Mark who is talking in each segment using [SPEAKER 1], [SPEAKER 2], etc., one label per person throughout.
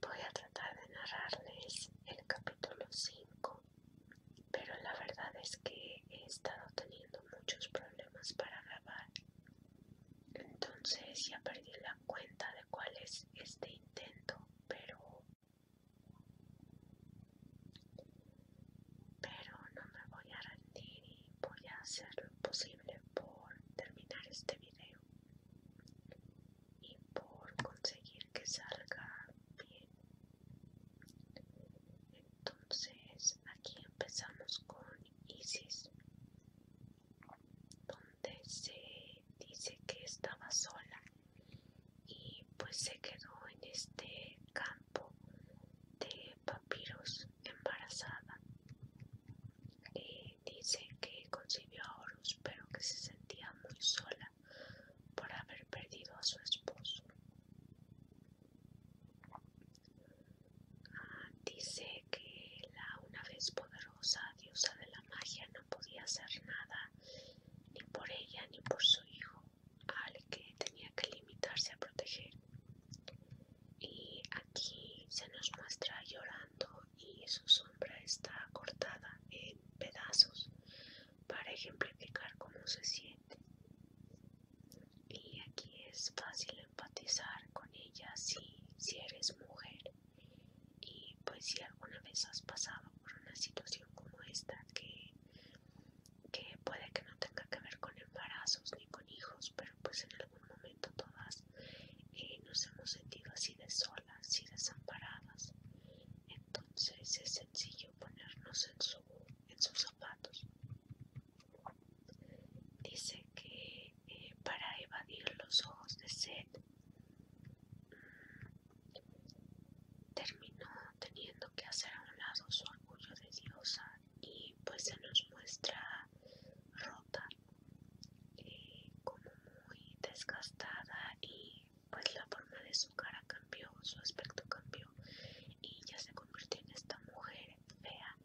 [SPEAKER 1] Voy a tratar de narrarles el capítulo 5, pero la verdad es que he estado teniendo muchos problemas para grabar. Entonces ya perdí la cuenta de cuál es este intento, pero... Pero no me voy a rendir y voy a hacer lo posible por terminar este video y por conseguir que salga bien. Entonces aquí empezamos con Isis, donde se dice que estaba sola y pues se quedó en este campo de papiros embarazada eh, dice que concibió a Horus, pero que se sentía muy sola por haber perdido a su esposo. Ah, dice que la una vez poderosa diosa de la magia no podía hacer nada ni por ella ni por su hijo, al que tenía que limitarse a proteger. Y aquí se nos muestra llorando y su sombra está cortada en pedazos para ejemplificar cómo se siente. Y aquí es fácil empatizar con ella si, si eres mujer y pues si alguna vez has pasado por una situación como esta que, que puede que no tenga que ver con embarazos ni con hijos, pero pues en algún momento todas eh, nos hemos sentido así de solas y desamparadas. Entonces es sencillo ponernos en, sus zapatos. Dice que eh, para evadir los ojos de sed, mm, terminó teniendo que hacer a un lado su orgullo de diosa y pues se nos muestra rota eh, como muy desgastada y pues la forma de su cara cambió, su aspecto cambió y ya se convirtió en esta mujer fea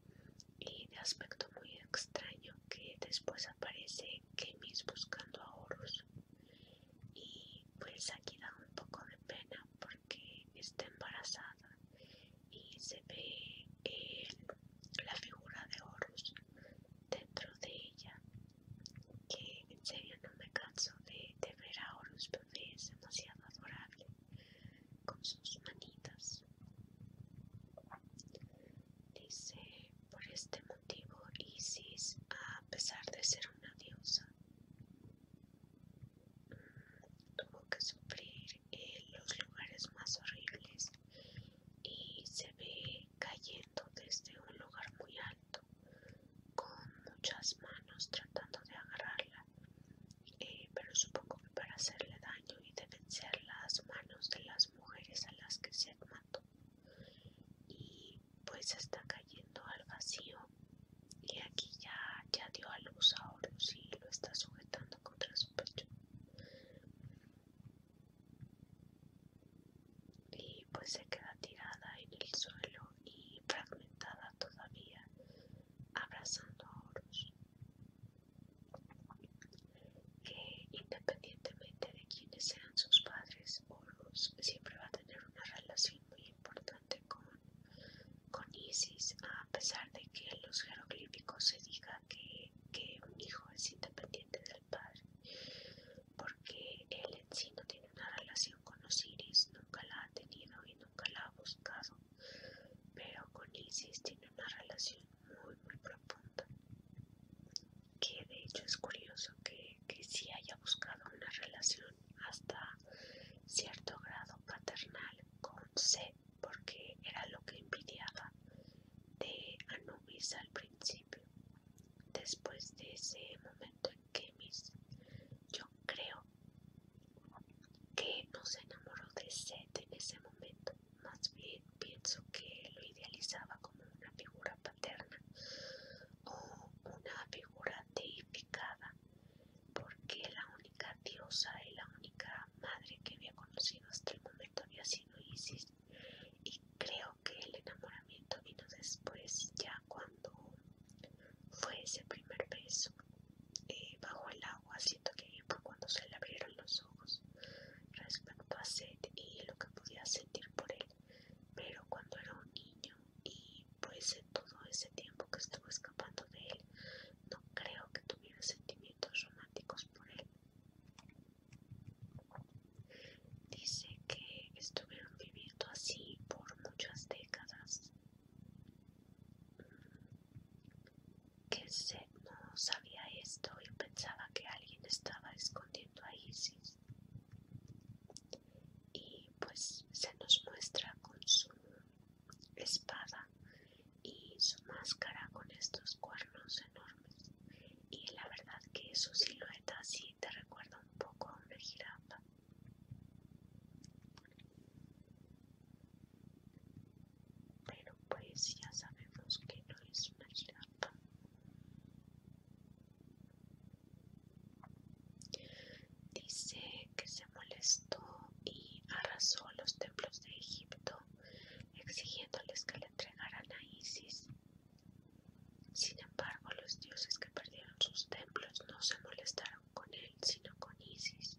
[SPEAKER 1] y de aspecto muy extraño que después aparece Kemis buscando a Horus y pues aquí da un poco de pena porque está embarazada y se ve eh, la figura de Horus dentro de ella que en serio no me canso de, ver a Horus porque es demasiado adorable con sus manitas dice por este motivo Isis a pesar de ser una diosa mm, tuvo que sufrir los lugares más horribles y se ve cayendo desde un lugar muy alto con muchas manos tratando de agarrarla eh, pero supongo que para hacerle daño y de vencer las manos de las mujeres a las que se mató y pues está cayendo al vacío y aquí ya, ya dio a luz a Horus y lo está sujetando contra su pecho y pues se queda tirada en el suelo y fragmentada todavía abrazando a Horus que independientemente de quienes sean sus padres Horus siempre va a tener una relación muy importante con, Isis a pesar de que los jeroglíficos se diga que, un hijo es independiente del padre, porque él en sí no tiene una relación con Osiris, nunca la ha tenido y nunca la ha buscado, pero con Isis tiene una relación muy, muy profunda, que de hecho es curioso que, que sí haya buscado una relación hasta cierto grado paternal con Set porque era lo que envidiaba de Anubis al principio. Después de ese momento en que mis... yo creo que no se enamoró de Seth en ese momento, más bien pienso que lo idealizaba como una figura paterna o una figura deificada porque la única diosa y la única madre que había conocido hasta el momento había sido Isis y creo que el enamoramiento vino después ya cuando fue ese primer beso eh, bajo el agua siento que fue cuando se le abrieron los ojos respecto a Seth y lo que podía sentir por él pero cuando era un niño y pues en todo ese tiempo que estuvo escapando de él no creo que tuviera sentimientos románticos por él. Dice que estuvieron viviendo así por muchas décadas, mm. que se no sabía esto y pensaba que alguien estaba escondiendo a Isis. Y pues se nos muestra con su espada y su máscara con estos cuernos enormes. Y la verdad que su silueta sí te recuerda un poco a una jirafa. Pero pues ya sabemos que no es una jirafa. Dice que se molestó y arrasó los templos de Egipto, exigiéndoles que le entregaran a Isis. Sin embargo, los dioses que perdieron sus templos no se molestaron con él, sino con Isis.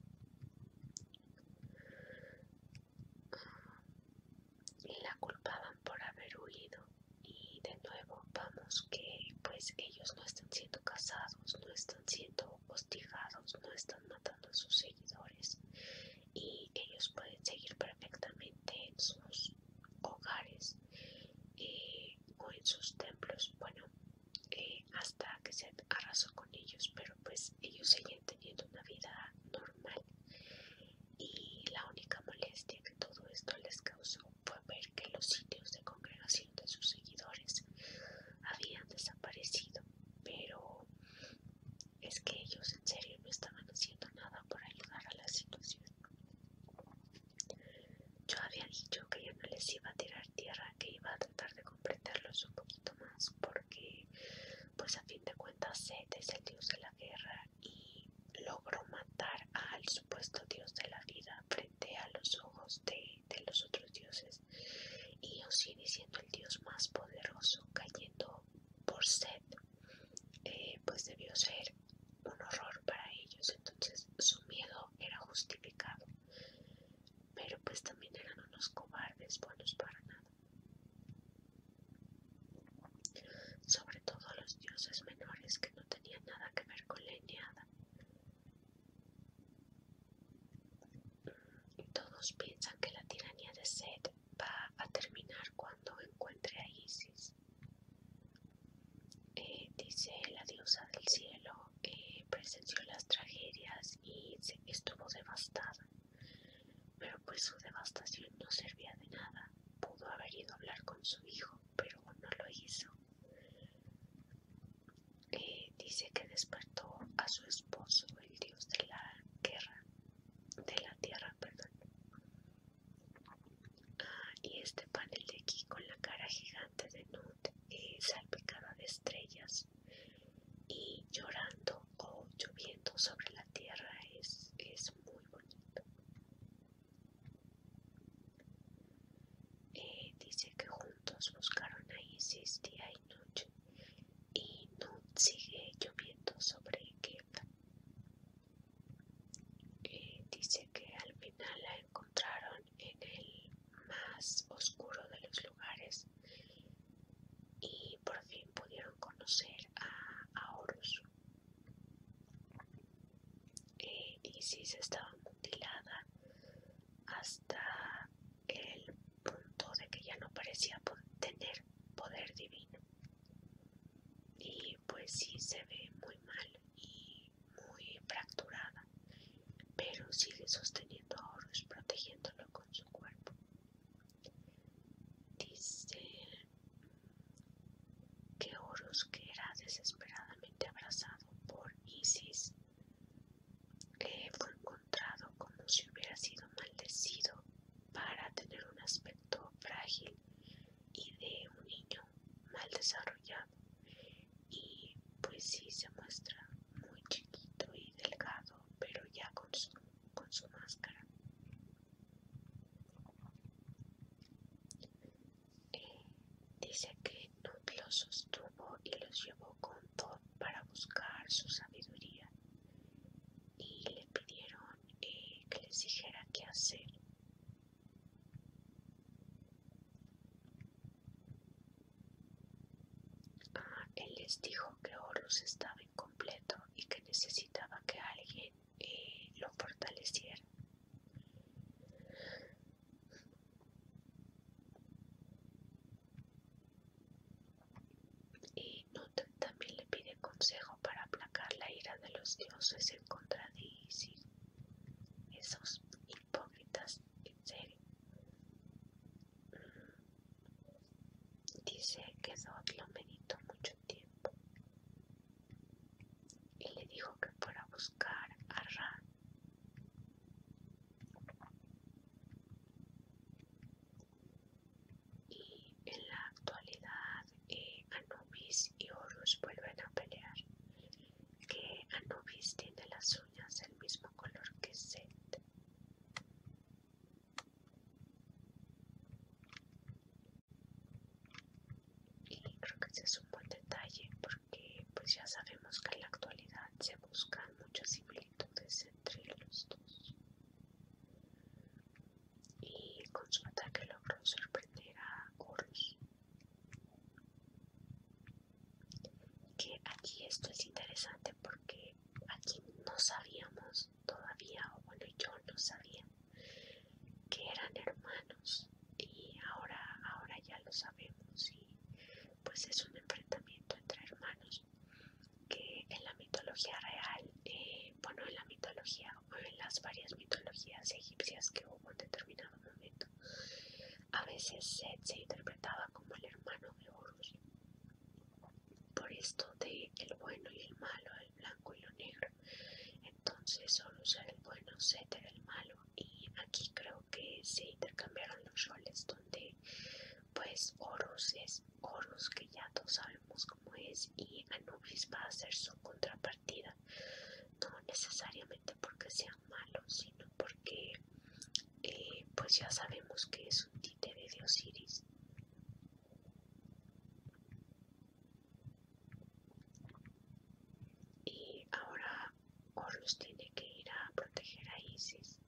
[SPEAKER 1] la culpaban por haber huido. Y de nuevo, vamos que pues ellos no están siendo casados, no están siendo hostigados, no están matando a sus seguidores y ellos pueden seguir perfectamente en sus hogares eh, o en sus templos. Bueno, eh, hasta que se arrasó con ellos, pero pues ellos siguen teniendo una vida normal y la única molestia que todo esto les causó fue ver que los sitios de congregación de sus seguidores habían desaparecido, pero es que ellos en serio no estaban haciendo nada por ayudar a la situación. Yo había dicho que yo no les iba a tirar tierra, que iba a tratar de comprenderlos un poquito más, porque pues a fin de cuentas Seth es el dios de la guerra y logró matar al supuesto dios de la vida frente a los ojos de de, los otros dioses y Osiris siendo el dios más poderoso cayendo por sed eh, pues debió ser un horror para ellos entonces su miedo era justificado pero pues también eran unos cobardes buenos para nada sobre todo los dioses menores que no tenían nada que ver con la Eneada todos piensan que la tiranía de Seth va a terminar cuando encuentre a Isis. Eh, dice la diosa del cielo, que eh, presenció las tragedias y estuvo devastada. Pero pues su devastación no servía de nada. Pudo haber ido a hablar con su hijo, pero no lo hizo. Eh, dice que despertó a su esposo, el dios de la guerra, de la tierra, perdón. y este panel de aquí con la cara gigante de Nut salpicada de estrellas y llorando o lloviendo sobre la tierra es, es muy bonito. Eh, dice que juntos buscaron a Isis día y noche y no sigue lloviendo sobre qué eh, dice que al final la encontraron en el más oscuro de los lugares y por fin pudieron conocer a, Horus. Isis eh, estaba mutilada hasta el punto de que ya no parecía tener poder divino. Y pues sí se ve muy mal y muy fracturada, pero sigue sosteniendo a Horus, protegiéndolo con su cuerpo. Dice que Horus, que era desesperadamente abrazado por Isis, le fue encontrado como si hubiera sido maldecido para tener un aspecto frágil y de un niño mal desarrollado y pues sí se muestra muy chiquito y delgado pero ya con con su máscara Dice que Nut los sostuvo y los llevó con todo para buscar su sabiduría y le pidieron eh, que les dijera qué hacer. Ah, él les dijo que Horus estaba incompleto y que necesitaba que alguien eh, lo fortaleciera. Y Nut también le pide consejo para aplacar la ira de los dioses en contra de Isis. Esos hipócritas, en serio. Mm. Dice que Dot lo meditó mucho tiempo y le dijo que fuera a buscar a Ra y en la actualidad eh, Anubis y Horus vuelven a pelear. Que Anubis tiene las uñas del mismo color que Set y creo que ese es un buen detalle porque pues ya sabemos que en la actualidad se buscan muchas similitudes entre los dos y con su ataque logró sorprender a Y que aquí esto es interesante porque aquí no sabíamos todavía o bueno yo no sabía que eran hermanos y ahora, ahora ya lo sabemos y pues es un enfrentamiento entre hermanos que en la mitología real, eh, bueno en la mitología o en las varias mitologías egipcias que hubo en determinado momento, a veces se interpretaba como el hermano de Horus. Por esto de el bueno y el malo, el blanco y lo negro, entonces solo usar el bueno, Z el malo y aquí creo que se intercambiaron los roles donde pues Horus es Horus que ya todos sabemos cómo es y Anubis va a ser su contrapartida no necesariamente porque sean malos sino porque eh, pues ya sabemos que es un títere de Osiris y ahora Horus tiene que ir a proteger a Isis.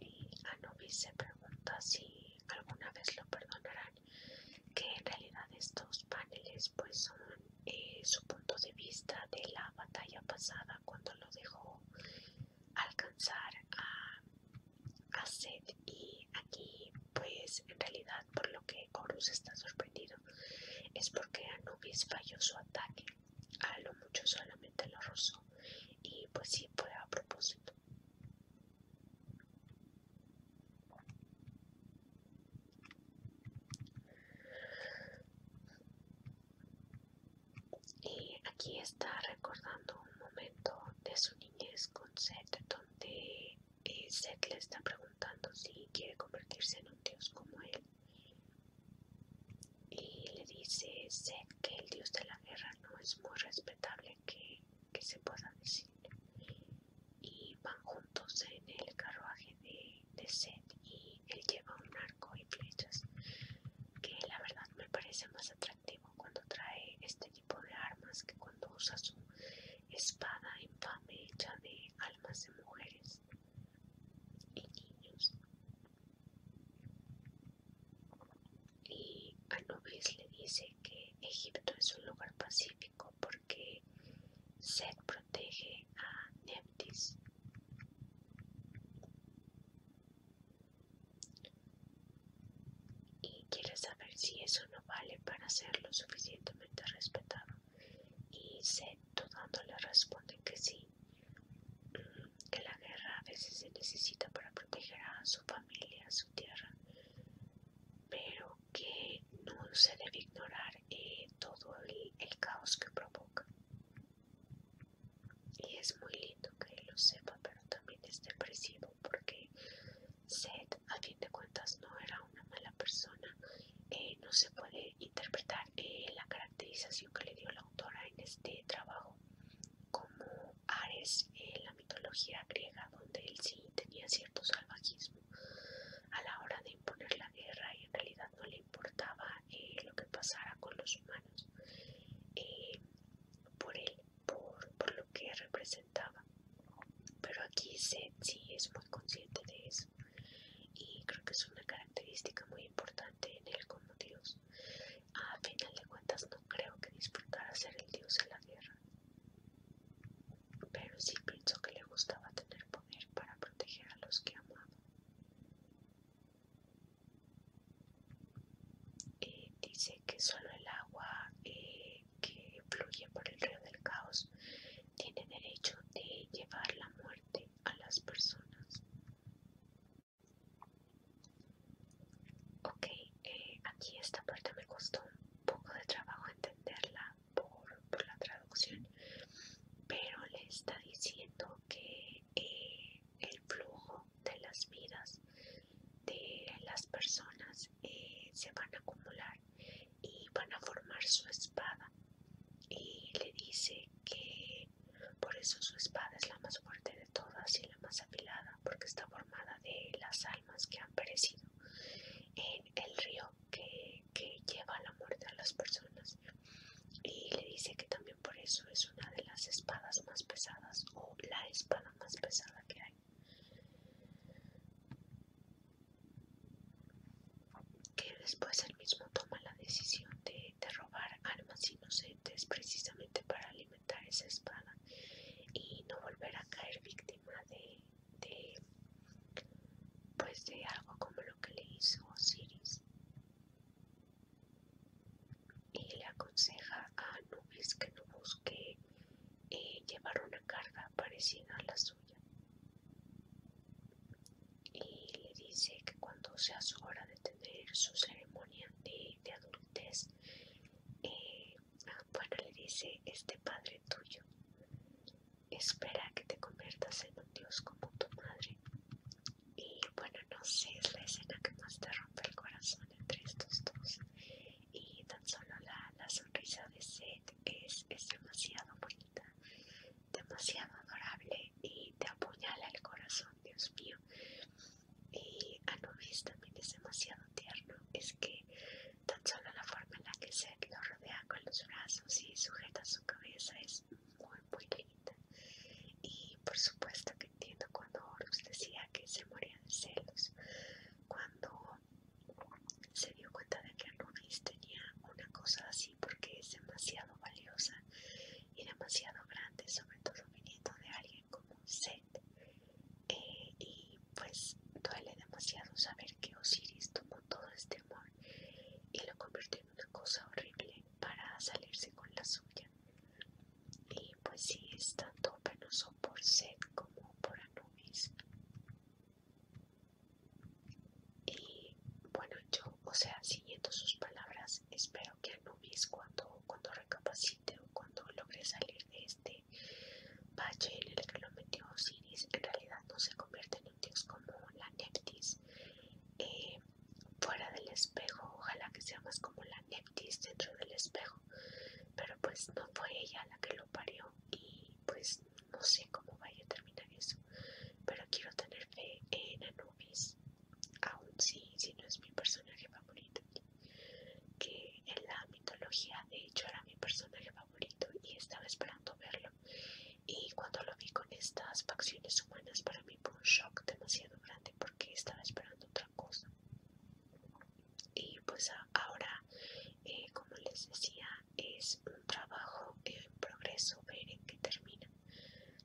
[SPEAKER 1] Y Anubis se pregunta si alguna vez lo perdonarán, que en realidad estos paneles pues son eh, su punto de vista de la batalla pasada cuando lo dejó alcanzar a a Seth y aquí pues en realidad por lo que Horus está sorprendido es porque Anubis falló su ataque a lo mucho solamente lo rozó y pues sí fue a propósito y aquí está recordando un momento de su niñez con Seth, donde eh, Seth le está preguntando si quiere convertirse en un dios como él. Y le dice Seth que el dios de la guerra no es muy respetable que, se pueda decir. Y van juntos en el carruaje de, de Seth y él lleva un arco y flechas que la verdad me parece más atractivo cuando trae este tipo de armas que cuando usa su espada infame hecha de almas de mujeres y niños. Y Anubis le dice que Egipto es un lugar pacífico porque Set protege a Neptis y quiere saber si eso no vale para ser lo suficientemente respetado. Y Seth, le responde que sí, mm, que la guerra a veces se necesita para proteger a su familia, a su tierra, pero que no se debe ignorar eh, todo el, el caos que provoca. Y es muy lindo que lo sepa, pero también es depresivo porque Seth a fin de cuentas no era una mala persona eh, no se puede interpretar eh, la caracterización que le dio la autora en este trabajo como Ares en eh, la mitología griega donde él sí tenía cierto salvajismo a la hora de imponer la guerra y en realidad no le importaba lo que pasara con los humanos por él por, lo que representaba. Pero aquí Seth sí es muy consciente de eso. Y creo que es una característica muy importante en él como Dios. A final de cuentas no creo que disfrutara ser el Dios en la guerra. Pero sí pensó que le gustaba tener poder para proteger a los que amaba dice que solo el agua eh, que fluye por el río del caos tiene derecho de llevar la muerte a las personas. Ok, eh, aquí esta parte me costó un poco de trabajo entenderla por, la traducción, pero le está diciendo que eh, el flujo de las vidas de las personas eh, se van a acumular y van a formar su espada y le dice que por eso su espada es la más fuerte de todas y la más afilada porque está formada de las almas que han perecido en el río que, que lleva la muerte a las personas y le dice que también por eso es una de las espadas más pesadas o la espada más pesada que hay que después él mismo toma la decisión de, robar armas inocentes precisamente para alimentar esa espada y no volver a caer víctima de, de pues de algo como lo que le hizo Osiris y le aconseja a Nubis que no busque eh, llevar una carga parecida a la suya y le dice que cuando sea su hora de tener su ceremonia de, adultez eh, bueno le dice este padre tuyo espera que te conviertas en un dios como tu madre y bueno, no sé, es la escena que más te rompe el corazón entre estos dos. Y tan solo la, sonrisa de Seth es, demasiado bonita, demasiado adorable y te apuñala el corazón, Dios mío. Y Anubis también es demasiado tierno, es que tan solo la forma en la que Seth lo rodea con los brazos y sujeta su cabeza es muy, muy linda. Y por supuesto que entiendo cuando Horus decía que se moría de celos, cuando se dio cuenta de que Anubis tenía una cosa así porque es demasiado valiosa y demasiado grande, sobre todo viniendo de alguien como Set. Eh, y pues duele demasiado saber que Osiris tomó todo este amor y lo convirtió en una cosa horrible para salirse con la suya y pues sí es tanto penoso por sed como por Anubis y bueno yo o sea siguiendo sus palabras espero que Anubis cuando, cuando recapacite o cuando logre salir de este valle en el que lo metió Osiris en realidad no se convierte en un dios como la Neptis eh, fuera del espejo, ojalá que sea más como la Neptis dentro del espejo, pero pues no fue ella la que lo parió y pues no sé cómo vaya a terminar eso, pero quiero tener fe en Anubis, Aún si, si no es mi personaje favorito, que en la mitología de hecho era mi personaje favorito y estaba esperando verlo y cuando lo vi con estas facciones humanas para mí fue un shock demasiado grande porque estaba esperando otra cosa y pues ahora eh, como les decía es un trabajo en progreso ver en qué termina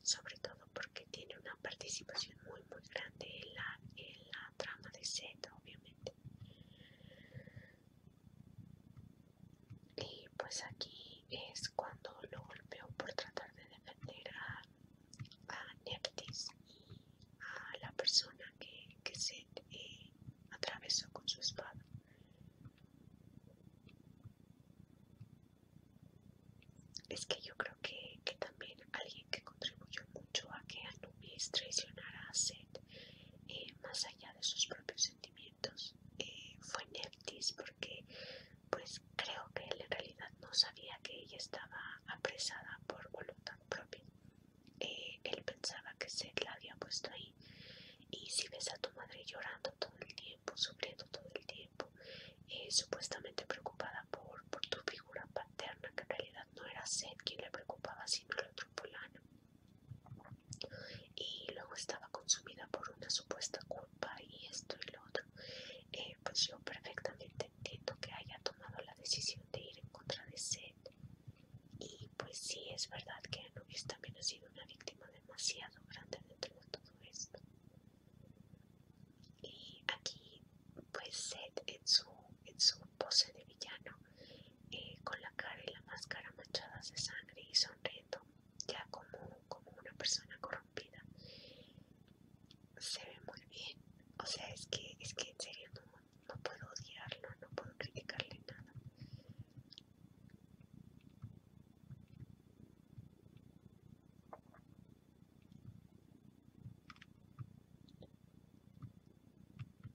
[SPEAKER 1] sobre todo porque tiene una participación muy muy grande en la, en la trama de Z obviamente y pues aquí es cuando lo golpeó por tratar de defender a a Nertis, a la persona que, que se eh, atravesó con su espada. Es que yo creo que, también alguien que contribuyó mucho a que Anubis traicionara a Seth, eh, más allá de sus propios sentimientos, eh, fue Nertis, porque pues Creo que él en realidad no sabía que ella estaba apresada por voluntad propia. Eh, él pensaba que se la había puesto ahí. Y si ves a tu madre llorando todo el tiempo, sufriendo todo el tiempo, eh, supuestamente preocupada por, tu figura paterna, que en realidad no era Seth quien le preocupaba, sino el otro polano. Y luego estaba consumida por una supuesta culpa y esto y lo otro. Eh, pues yo perfectamente entiendo que haya tomado la decisión de ir en contra de Seth y pues sí es verdad que Anubis también ha sido una víctima demasiado grande dentro de todo esto y aquí pues Seth en su, en su pose de villano eh, con la cara y la máscara manchadas de sangre y sonriendo ya como como una persona corrompida se ve muy bien o sea es que es que en serio no, no puedo odiarlo no puedo criticarle nada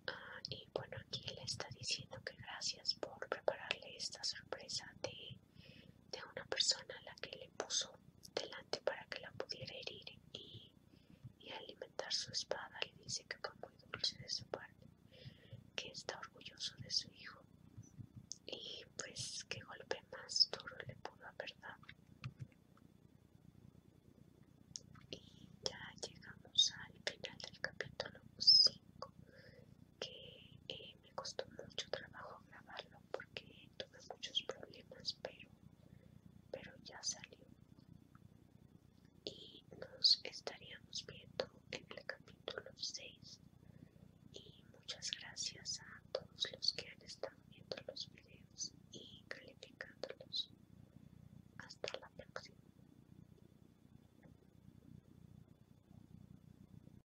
[SPEAKER 1] ah, y bueno, aquí le está diciendo que gracias por prepararle esta sorpresa de de una persona a la que le puso delante para que la pudiera herir y, alimentar su espada, le dice que fue muy dulce de su parte, que está orgulloso de su hijo y pues qué golpe más duro le pudo haber dado. Y ya llegamos al final del capítulo 5 que eh, me costó mucho trabajo grabarlo porque tuve muchos problemas, pero, pero ya salió. Y nos estaríamos viendo en el capítulo 6. Y muchas gracias a todos los que han estado viendo los videos y calificándolos. Hasta la próxima.